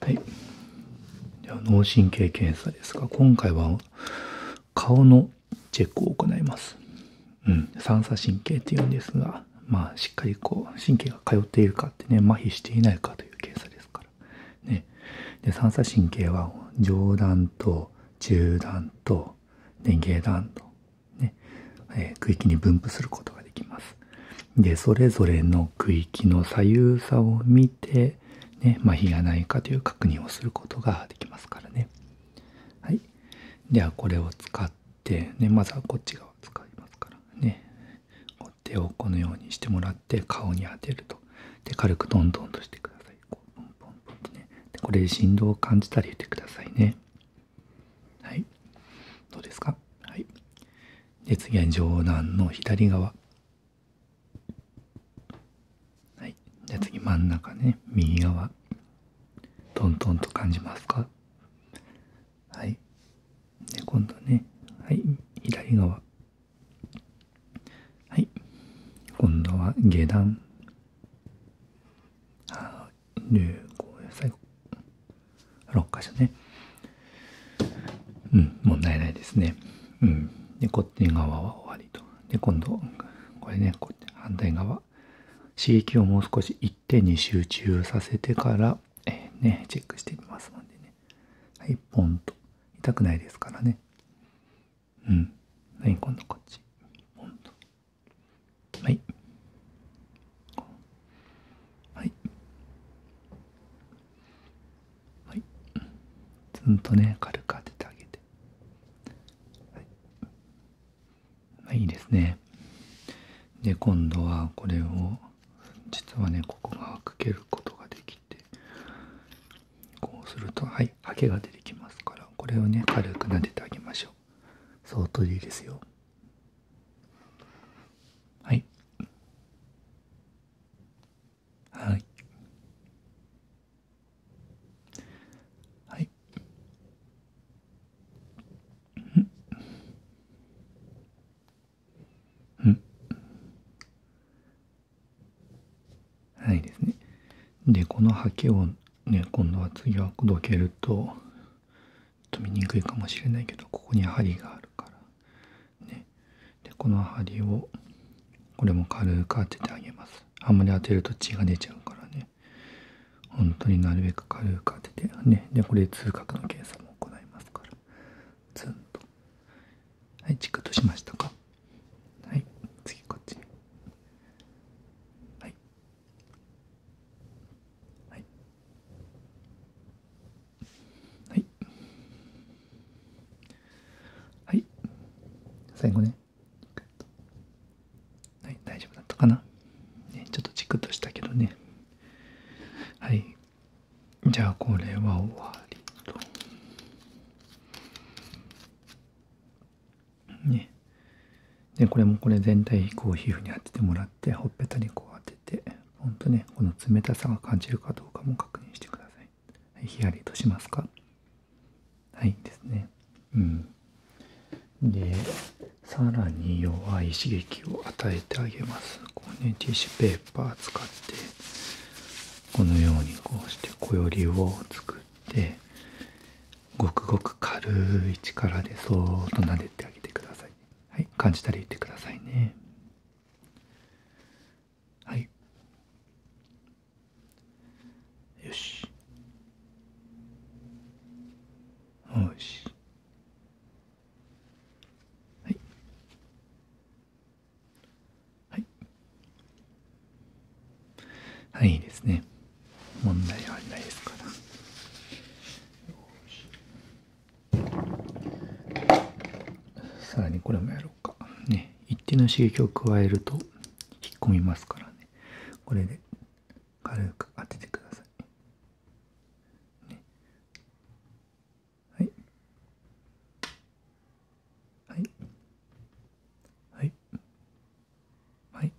はい。では脳神経検査ですが、今回は顔のチェックを行います。三叉神経っていうんですが、まあ、しっかりこう、神経が通っているかってね、麻痺していないかという検査ですから。三叉神経は上段と中段と、ね、下段と、ね、え区域に分布することができます。で、それぞれの区域の左右差を見て、ね、まあ、がないかという確認をすることができますからね。はい。では、これを使って、ね、まずはこっち側を使いますからね。手をこのようにしてもらって、顔に当てると。で、軽くどんどんとしてください。こう、ポンポンポンとね。でこれで振動を感じたり言ってくださいね。はい。どうですかはい。で次は上段の左側はいじゃあ次真ん中ね右側トントンと感じますかはいで今度ねはい左側はい今度は下段ああ。で、こう最後、6箇所ね。うん、問題ないですね。うん。で、こっち側は終わりと。で、今度、これね、こうやって反対側。刺激をもう少し一点に集中させてから、えね、チェックしてみますのでね。はい、ポンと。痛くないですからね。うん。はい、今度こっち。ポンと。はい。はい。はい。ずんとね、軽く当ててあげて。はい。まあ、いいですね。で、今度はこれを、実はね、ここが開けることができて、こうすると、はい、ハケが出てきますから、これをね、軽く撫でてあげましょう。相当いいですよ。はいはいはいうんはいですねでこのはけをね今度は次はどけるとちょっと見にくいかもしれないけどここに針があるからねでこの針をこれも軽く当ててあげますあんまり当てると血が出ちゃうからね本当になるべく軽く当ててねでこれ痛覚の計算も行いますからツンとはいチクッとしましたかはい次こっちはいはい、はいはい、最後ねはい大丈夫だったかな、ね、ちょっとチクッとしたけどねはいじゃあこれは終わりとね。で、これもこれ全体こう皮膚に当ててもらって、ほっぺたにこう当てて、ほんとね、この冷たさが感じるかどうかも確認してください。ヒヤリとしますかはいですね。うん。で、さらに弱い刺激を与えてあげます。こうね、ティッシュペーパー使って、このようにこうしてこよりを作って、ごくごく軽い力でそーっと撫でてあげてください、はい、感じたら言ってくださいねはいよしよしはいはいはいいいですね問題はないですから。さらにこれもやろうかね一定の刺激を加えると引っ込みますからねこれで軽く当ててください、ね、はいはいはいはいはい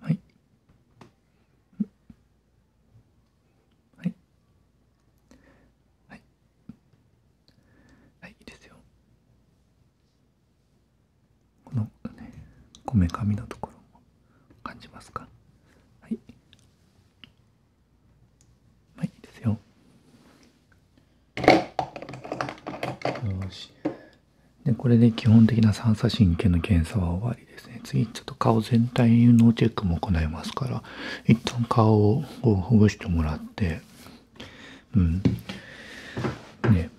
はいはいはいいいですよこのねこめかみのところも感じますかはいまあいいですよ。よし。で、これで基本的な三叉神経の検査は終わりですね。次、ちょっと顔全体のチェックも行いますから、一旦顔をほぐしてもらって、うん。ね。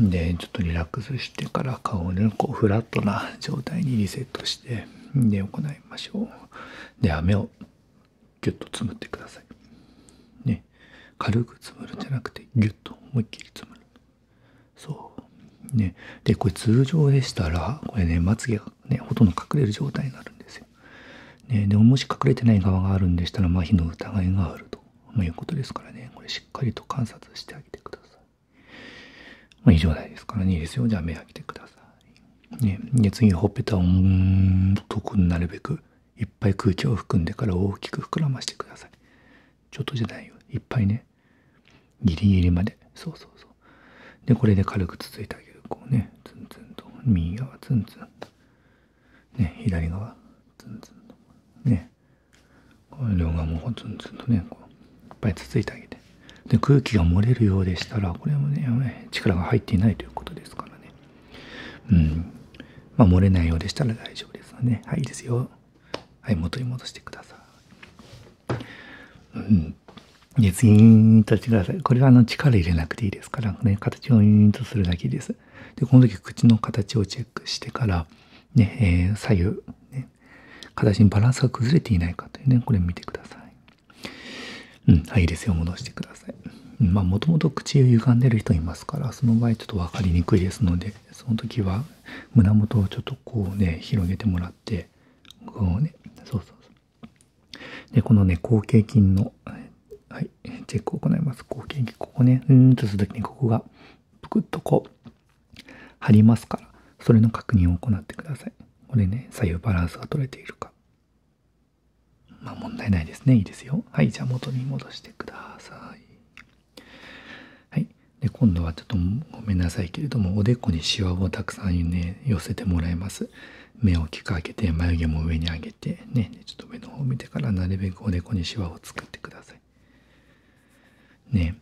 で、ちょっとリラックスしてから顔をね、こう、フラットな状態にリセットして、で、行いましょう。で、飴をギュッとつむてくださいね軽くつむるんじゃなくてギュッと思いっきりつむるそうねでこれ通常でしたらこれねまつげがねほとんど隠れる状態になるんですよ、ね、でももし隠れてない側があるんでしたら麻痺の疑いがあると、いうことですからねこれしっかりと観察してあげてください、まあ、以上ないですからねいいですよじゃあ目開けてくださいね、で次ほっぺたをんとくなるべくいっぱい空気を含んでから大きく膨らましてくださいちょっとじゃないよいっぱいねギリギリまでそうそうそうでこれで軽くつついてあげるこうねツンツンと右側ツンツンね左側ツンツンとね両側もツンツンとねこういっぱいつついてあげてで空気が漏れるようでしたらこれもね力が入っていないということですからねうんま漏れないようでしたら大丈夫ですよねはいいですよはい元に戻してくださいうんで次インとしてくださいこれはあの力入れなくていいですからね形をうンとするだけですでこの時口の形をチェックしてからね、え左右、ね、形にバランスが崩れていないかというねこれ見てくださいうん、はい、ですよ、戻してください。まあ、もともと口歪んでる人いますから、その場合ちょっと分かりにくいですので、その時は胸元をちょっとこうね、広げてもらって、こうね、そうそうそう。で、このね、後頸筋の、はい、チェックを行います。後頸筋、ここね、うーんとする時にここが、ぷくっとこう、張りますから、それの確認を行ってください。これね、左右バランスが取れているか。まあ問題ないですね。いいですよ。はい、じゃあ元に戻してください。はい。で、今度はちょっとごめんなさいけれども、おでこにシワをたくさんね、寄せてもらいます。目をきく開けて、眉毛も上に上げて、ね、ちょっと上の方を見てから、なるべくおでこにシワを作ってください。ね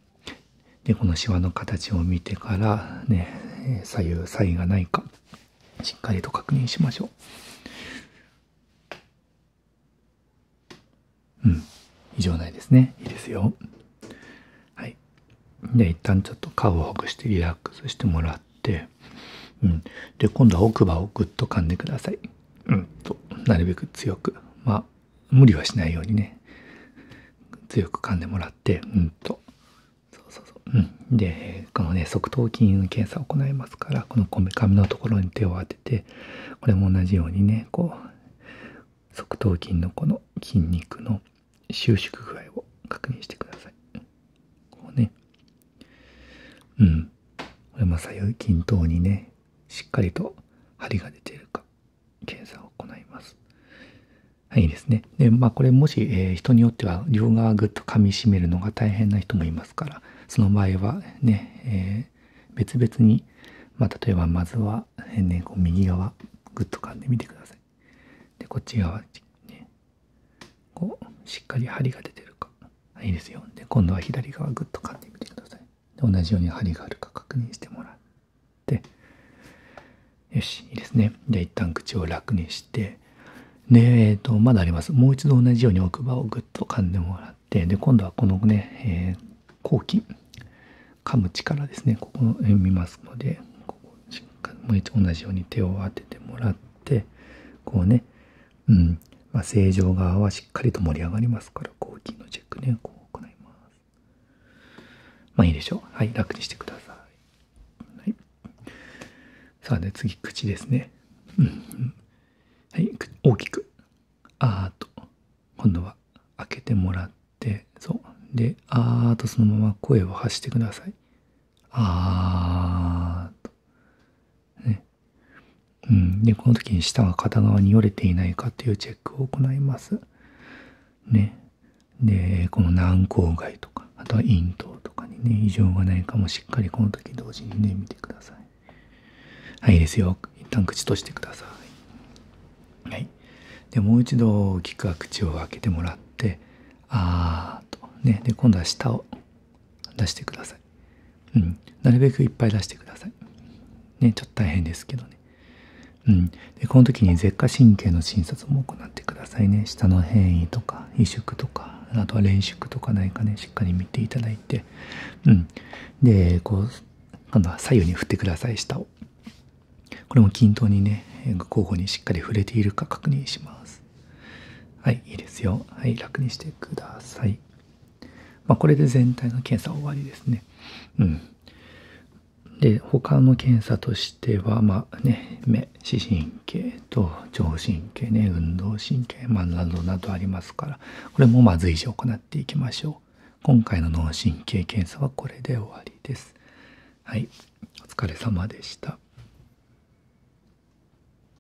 でこのシワの形を見てからね左右差異がないかしっかりと確認しましょううん異常ないですねいいですよはいじで一旦ちょっと顔をほぐしてリラックスしてもらってうんで今度は奥歯をぐっと噛んでくださいうんとなるべく強くまあ無理はしないようにね、強く噛んでもらって、うんと。そうそうそう。うん。で、このね、側頭筋の検査を行いますから、このこめかみのところに手を当てて、これも同じようにね、こう、側頭筋のこの筋肉の収縮具合を確認してください。こうね。うん。これも左右均等にね、しっかりと針が出ているか、検査を行います。はい、いいですね。で、まあこれもし、え人によっては両側ぐっと噛み締めるのが大変な人もいますから、その場合はね、え別々に、ま例えばまずは、ね、こう右側ぐっと噛んでみてください。で、こっち側、ね、こう、しっかり針が出てるか。いいですよ。で、今度は左側ぐっと噛んでみてください。同じように針があるか確認してもらってよしいいですねじゃあ一旦口を楽にしてでえっ、とまだありますもう一度同じように奥歯をぐっと噛んでもらってで今度はこのね、えー、後期噛む力ですねここを見ますのでここしっかりもう一度同じように手を当ててもらってこうねうんまあ、正常側はしっかりと盛り上がりますから抗菌のね、こう行います。まいいでしょう。はい、楽にしてください。はい。さあね、次、口ですね。うん。はい、大きく。あーと、今度は開けてもらって、そう。で、あーとそのまま声を発してください。あーと。ね。うん、でこの時に舌が片側によれていないかっていうチェックを行います。ね、でこの軟口蓋とかあとは咽頭とかにね異常がないかもしっかりこの時同時にね見てください。はいいいですよ一旦口閉じてください。はい、でもう一度大きく口を開けてもらって「あー」とねで今度は舌を出してください。うん。なるべくいっぱい出してください。ね、ちょっと大変ですけどね。うん。で、この時に舌下神経の診察も行ってくださいね。舌の変異とか、萎縮とか、あとは練習とかないかね、しっかり見ていただいて。うん。で、こう、今度は左右に振ってください、舌を。これも均等にね、交互にしっかり触れているか確認します。はい、いいですよ。はい、楽にしてください。まこれで全体の検査終わりですね。うん。で、他の検査としては、まね、目、視神経と聴神経ね、運動神経、まあ、などなどありますから、これもまあ随時行っていきましょう。今回の脳神経検査はこれで終わりです。はい。お疲れ様でした。